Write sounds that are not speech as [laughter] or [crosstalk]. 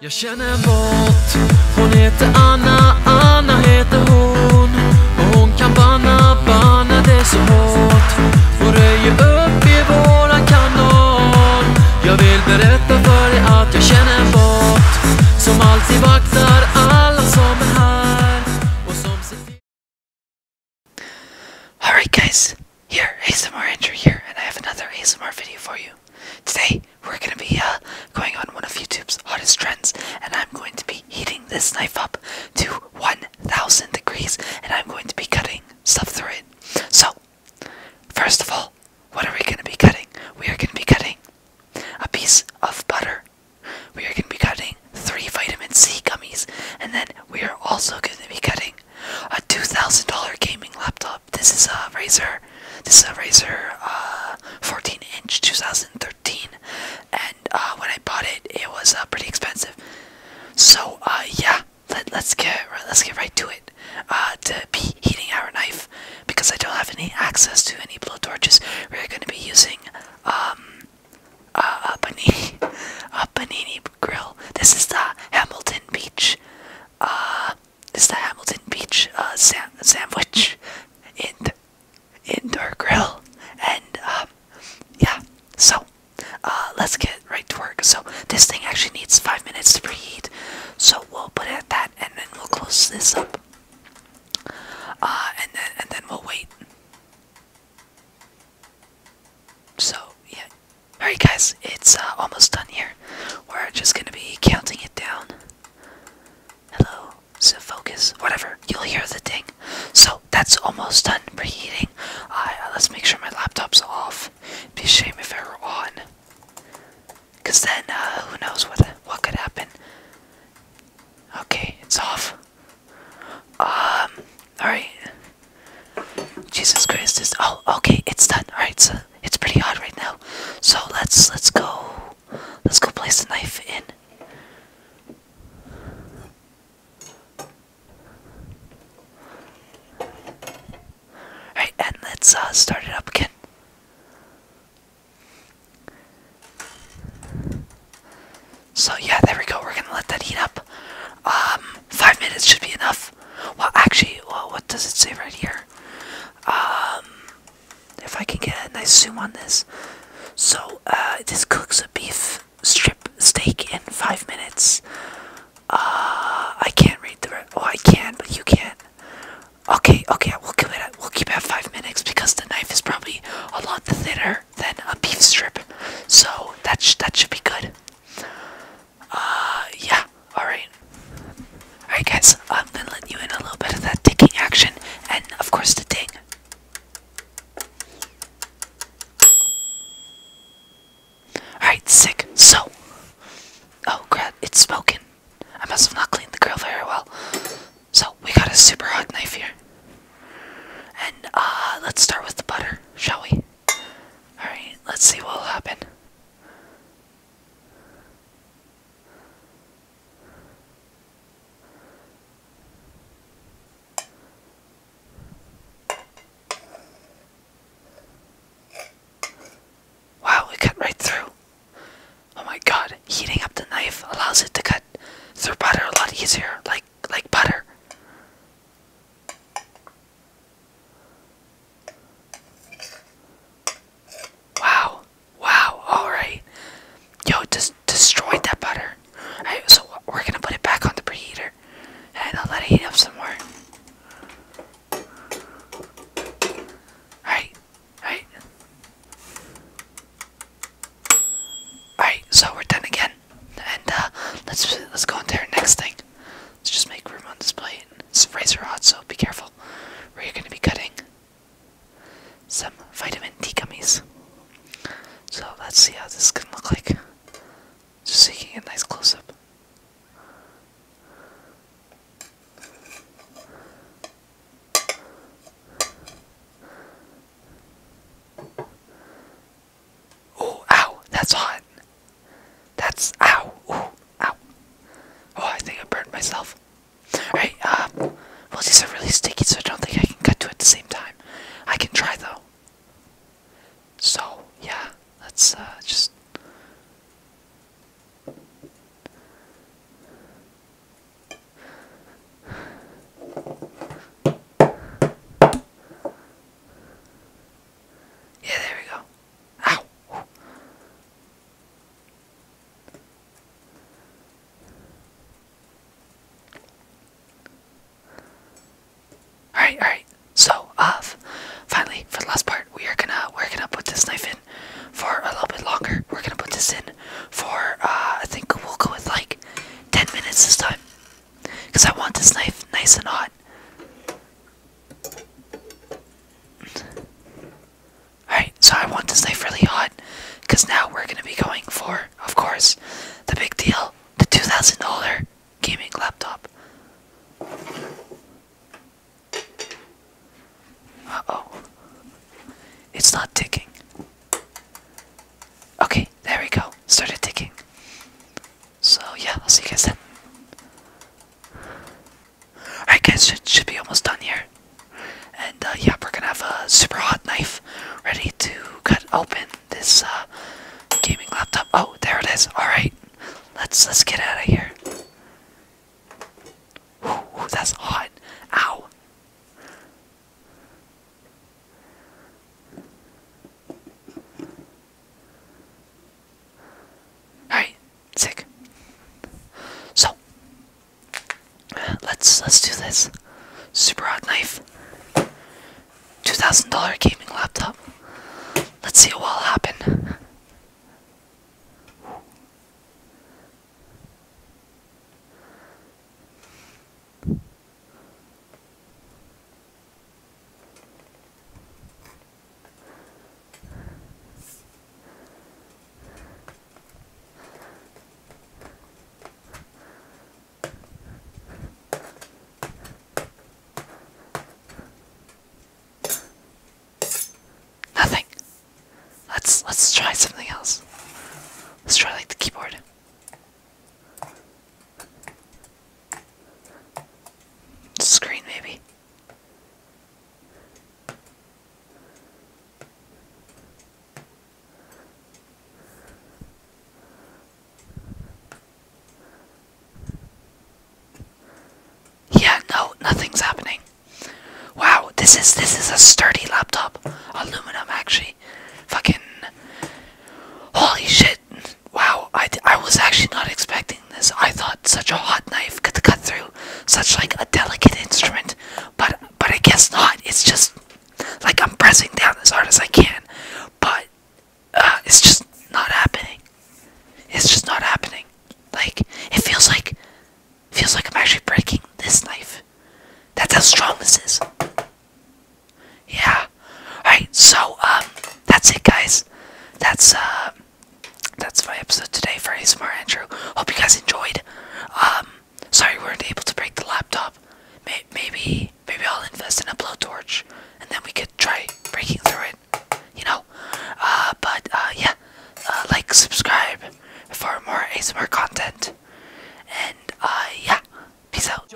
Jag känner en båt, hon heter Anna, Anna heter hon Och hon kan banna, banna det så hårt Hon röjer upp i våran kanal Jag vill berätta för dig att jag känner en båt Som alltid vaktar alla som är här och som ser Alright guys, here ASMR Andrew here and I have another ASMR video for you Today, we're gonna be uh, going on one of YouTube's hottest trends, and I'm going to be heating this knife up to 1000 degrees, and I'm going to be cutting stuff through it. So, first of all, what are we gonna be cutting? We are gonna be cutting a piece of butter. We are gonna be cutting three vitamin C gummies, and then we are also gonna be cutting a $2,000 gaming laptop. This is a Razer this is a Razer uh, 14 inch 2013, and uh, when I bought it, it was uh, pretty expensive. So yeah, let, us get let's get right to it. to be heating our knife because I don't have any access to any blow torches. We're going to be using um, a panini [laughs] a panini grill. This is the Hamilton Beach. Uh, it's the Hamilton Beach uh, sandwich in indoor grill, and um, yeah. So uh, let's get right to work. So this thing actually needs five minutes to preheat, so we'll put it at that, and then we'll close this up, uh, and then and then we'll wait. So yeah. Alright guys, it's almost done here. We're just gonna be counting it down. Hello, so focus, whatever. You'll hear the ding. So that's almost done preheating. Uh, let's make sure my laptop's off. be a shame if it were on. Cause then uh, who knows what what could happen. Okay, it's off. Um, alright. Jesus Christ is. Oh, okay, it's done. Alright, it's pretty hot right now. So let's let's go let's go place the knife in. Alright, and let's uh, start it up again. So yeah, there we go. We're gonna let that heat up. Um, five minutes should be enough. Well, actually, well, what does it say right here? Um, if I can get a nice zoom on this. So, uh, this cooks a beef strip steak in five minutes. Uh, I can't read the. Oh, I can, but you can't. Okay, okay, we'll keep it. At, we'll keep it five minutes because the knife is probably a lot thinner than a beef strip, so that sh that should be good. Uh, yeah. Alright. Alright, guys, I'm gonna let you in a little bit of that ticking action and, of course, the ding. Alright, sick. So. Oh, crap, it's smoking. I must have not cleaned the grill very well. So, we got a super hot knife here. And, uh, let's start with the butter, shall we? Alright, let's see what'll happen. Wow, it cut right through. Oh my god, heating up the knife allows it to cut through butter a lot easier, like like butter. Wow. Wow, alright. Yo, just destroyed that butter. Alright, so we're gonna put it back on the preheater. And I'll let it heat up some more. Alright, alright. Alright, so we're done again. And uh, let's let's go into our next thing. Let's just make room on this plate. It's razor hot, so be careful where you're gonna be cutting some vitamin D gummies. So let's see how this can look like. Just so a nice close up. Oh, ow, that's hot. That's ow, ooh, ow. Oh, I think I burned myself. Alright, um, well these are really sticky so I don't think I can cut to at the same time. I can try though. So, yeah, let's uh, just... Yeah, there we go. Ow! Alright, alright. So, uh, finally, for the last part, we are gonna we're gonna put this knife in for a little bit longer. We're gonna put this in for uh, I think we'll go with like 10 minutes this time, cause I want this knife nice and hot. Alright, so I want this knife really hot because now we're going to be going for, of course, the big deal the $2,000 gaming laptop. Uh oh. It's not ticking. Okay, there we go. Started ticking. So, yeah, I'll see you guys then. Alright guys, it should be almost done here. And uh, yeah, we're gonna have a super hot knife ready to cut open this uh, gaming laptop. Oh, there it is. Alright, let's let's get out of here. Ooh, that's hot. Ow. Alright, sick. So, Let's let's do this. Super hot knife. Two thousand dollar gaming laptop. Let's see what will happen. Nothing. Let's let's try something else. Let's try like the keyboard. Screen maybe. Yeah, no, nothing's happening. Wow, this is this is a sturdy laptop. Aluminum actually. Fucking Holy shit. Wow, I, I was actually not expecting this. I thought such a hot knife could cut through such like a delicate instrument but but I guess not. It's just like I'm pressing down as hard as I can, but uh, it's just not happening. It's just not happening. Like it feels like feels like I'm actually breaking this knife. That's how strong this is. Yeah. Alright, so um that's it guys. That's uh that's my episode today for ASMR Andrew. Hope you guys enjoyed. Um, sorry we weren't able to break the laptop. maybe, maybe I'll invest in a blowtorch, and then we could try breaking through it. You know. Uh, but uh, yeah, uh, like, subscribe for more ASMR content, and yeah, peace out.